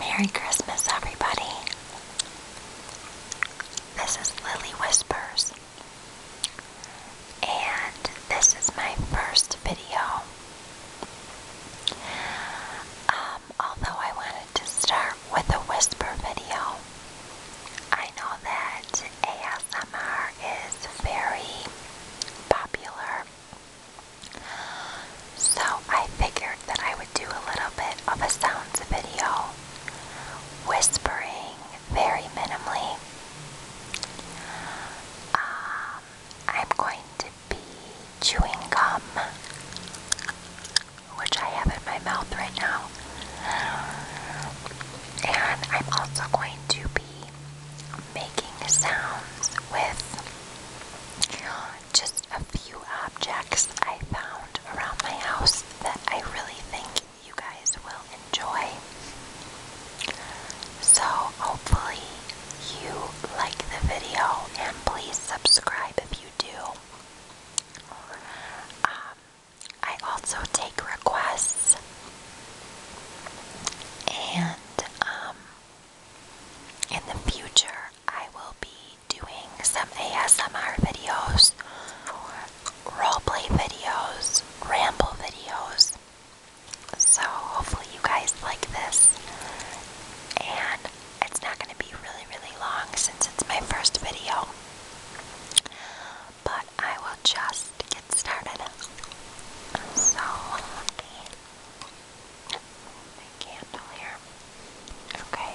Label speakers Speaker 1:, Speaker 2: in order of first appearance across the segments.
Speaker 1: Merry Christmas, everybody. This is Lily Whispers, and this is my first video. Um, although I wanted to start with a whisper video, I know that ASMR is very popular so I figured that I would do a little bit of a sounds video, whispering very minimally. Um, I'm going to be chewing gum, which I have in my mouth right now. And I'm also going to be making sounds with just a few objects I found around my house that I really think you guys will enjoy. So, hopefully, you like the video and please subscribe if you do. Um, I also take requests and um, in the future, I will be doing some ASMR videos, roleplay videos, ramble videos. So, hopefully, you guys like this. And it's not going to be really, really long since it's my first video. But I will just get started. So, a candle here. Okay.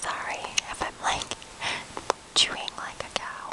Speaker 1: Sorry if I'm like chewing like a cow.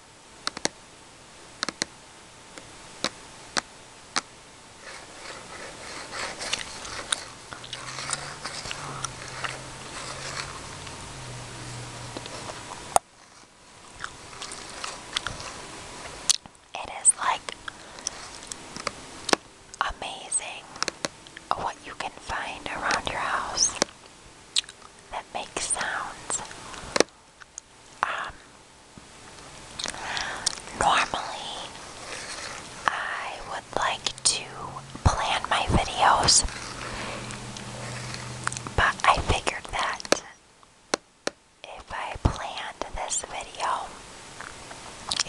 Speaker 1: It is like amazing what you can find around your house that make sounds. Um, normally, I would like to plan my videos, but I figured that if I planned this video,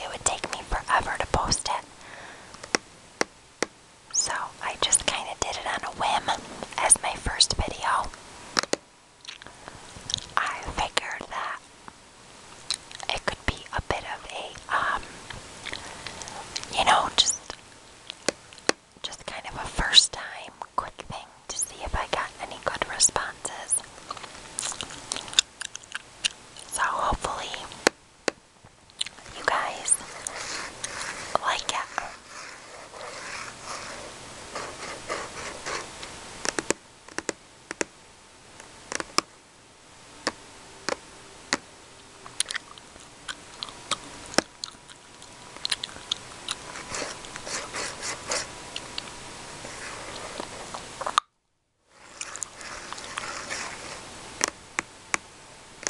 Speaker 1: it would take me forever to post it. So I just kind of did it on a whim as my first video. I figured that it could be a bit of a, um, you know, just, just kind of a first time quick thing to see if I got any good responses. So hopefully you guys like it.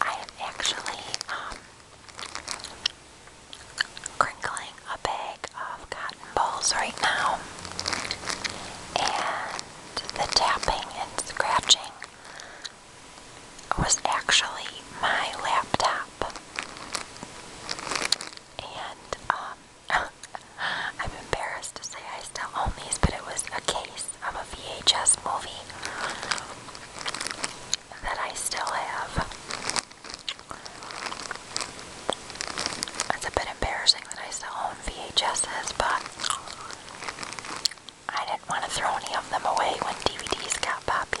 Speaker 1: I have actually um, crinkling a bag of cotton balls right now, and the tapping and scratching was actually my laptop. And, um, I'm embarrassed to say I still own these, but it was a case of a VHS movie that I still have. It's a bit embarrassing that I still own VHSs, but I didn't want to throw any of them away when DVDs got popular.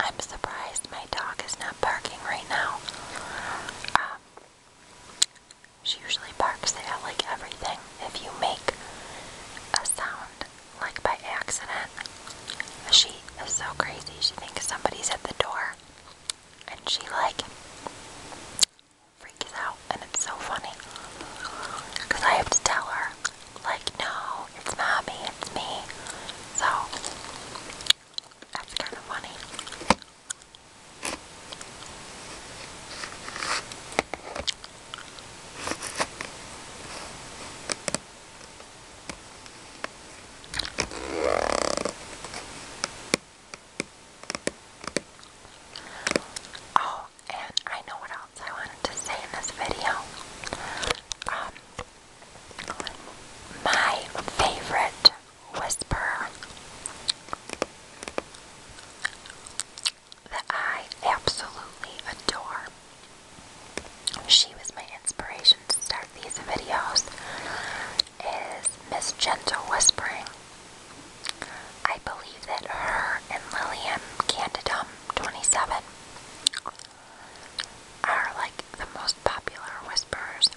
Speaker 1: I'm surprised my dog is not barking right now. Um, she usually barks at like everything. If you make a sound like by accident, she is so crazy. She thinks somebody's at the door, and she like freaks out, and it's so funny. Because I have to tell her, like, no, it's not it's me. So, that's kind of funny. Oh, and I know what else I wanted to say in this video. Um, my favorite whisperer that I absolutely adore. She was my inspiration to start these videos is Miss Gentle Whispering. I believe that her and Lilium Candidum 27 are like the most popular whisperers.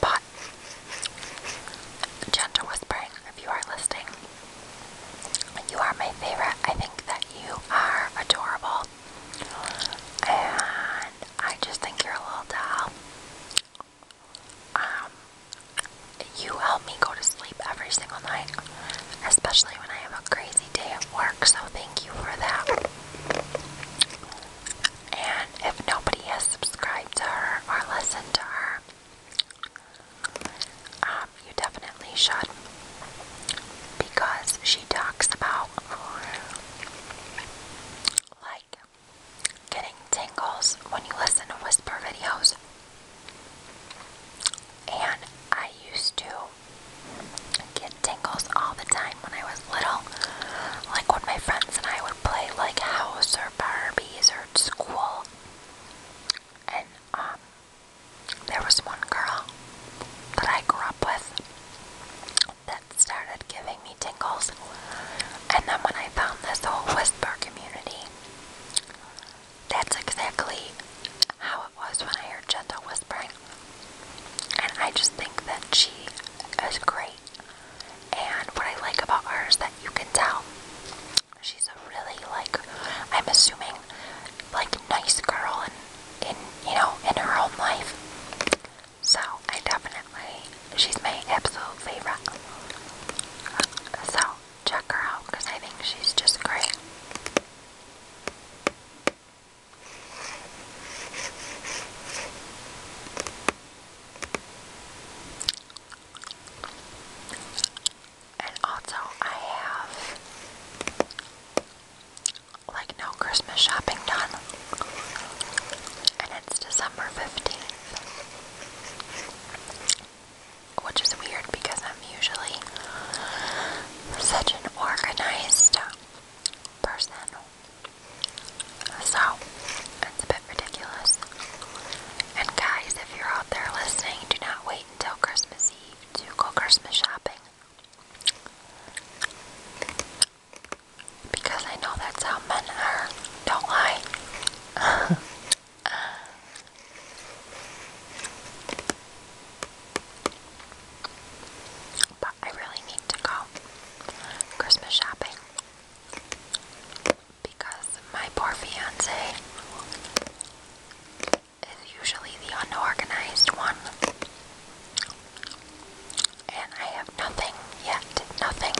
Speaker 1: But Gentle Whispering, if you are listening, you are my favorite. I think that you are adorable. And I just think you're a little doll um, you help me go to sleep every single night, especially when I have a crazy day at work, so thank you for that. And if nobody has subscribed to her or listened to her, um, you definitely should because she talks about like getting tingles when you listen to whisper videos. And I used to get tingles all the time when I was little. Like when my friends and I would play like house or Barbies or school. And um, there was one girl that I grew up with that started giving me tingles. And then when I found this whole whisper community, that's exactly how it was when I heard gentle whispering. And I just think that she is great. And what I like about her is that you can tell she's a really like I'm assuming like nice girl and in you know in her own life. So I definitely, she's my absolute favorite. So check her out because I think she's just great. And also I have like no Christmas shopping done. And it's December 15th. Which is weird because I'm usually such an organized person. So, it's a bit ridiculous. And guys, if you're out there listening, do not wait until Christmas Eve to go Christmas shopping. Because I know that's how men are. Don't lie. but I really need to go Christmas shopping. Because my poor fiance is usually the unorganized one. And I have nothing yet, nothing.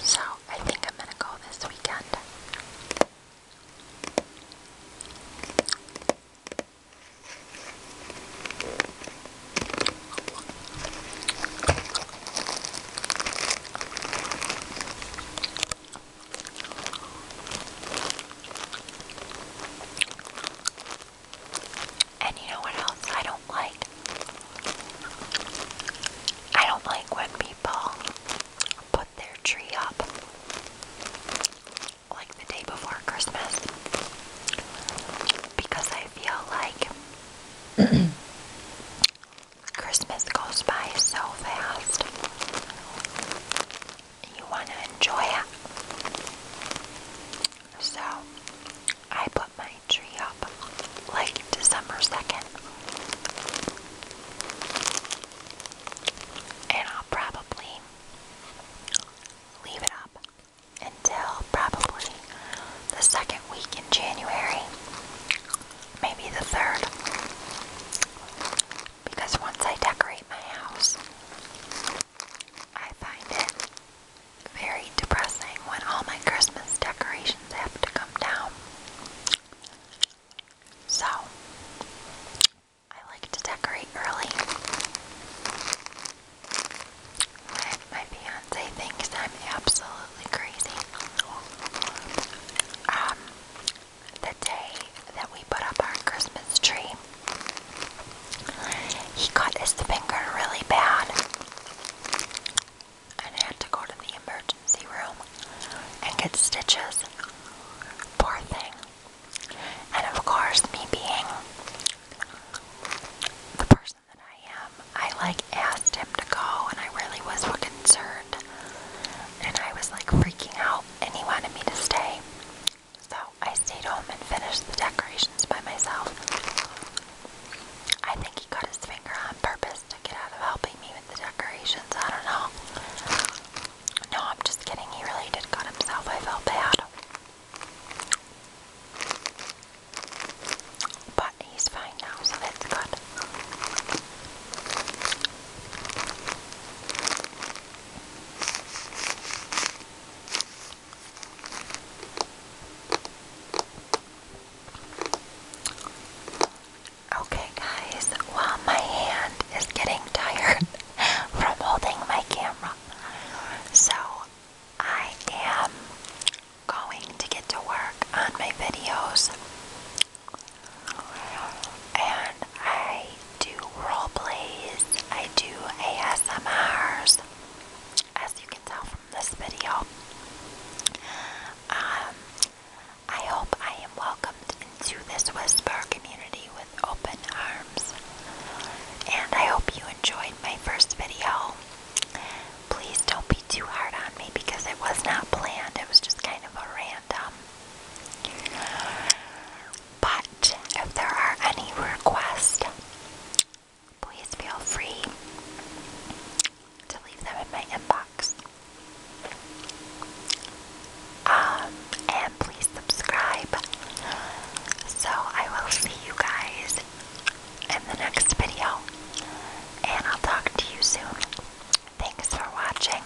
Speaker 1: So I think I'm gonna go this weekend. And you know what else I don't like? I don't like when people put their tree up like the day before Christmas because I feel like Christmas goes by so fast you want to enjoy it. So, I put my tree up like December 2nd. And I'll probably leave it up until probably the second week in January. Maybe the third. Because once I decorate my house, I find it very depressing when all my Christmas decorations have to come down. So, I like to decorate early. My, fiance thinks I'm absolutely crazy. Um, the day that we put up our Christmas tree, he cut his finger really bad and had to go to the emergency room and get stitches. Poor thing. And of course, me being the person that I am, I like asked him to go and I really was concerned. And I was like freaking out and he wanted me to stay. So I stayed home and finished the decorations by myself. I think he cut his finger on purpose to get out of helping me with the decorations. I don't know. No, I'm just kidding. He really did cut himself. I felt bad. But he's fine now, so that's good. Okay, guys, while my hand is getting tired from holding my camera, so I am going to get to work on my videos. And I do role plays. I do ASMRs, as you can tell from this video. Um, I hope I am welcomed into this whisper community with open arms. And I hope you enjoyed my first video. Please don't be too hard on me because it was not planned. It was just kind of a random. But if there are any requests, please feel free to leave them in my inbox. Um, and please subscribe. So I will see you guys in the next video, and I'll talk to you soon. Thanks for watching.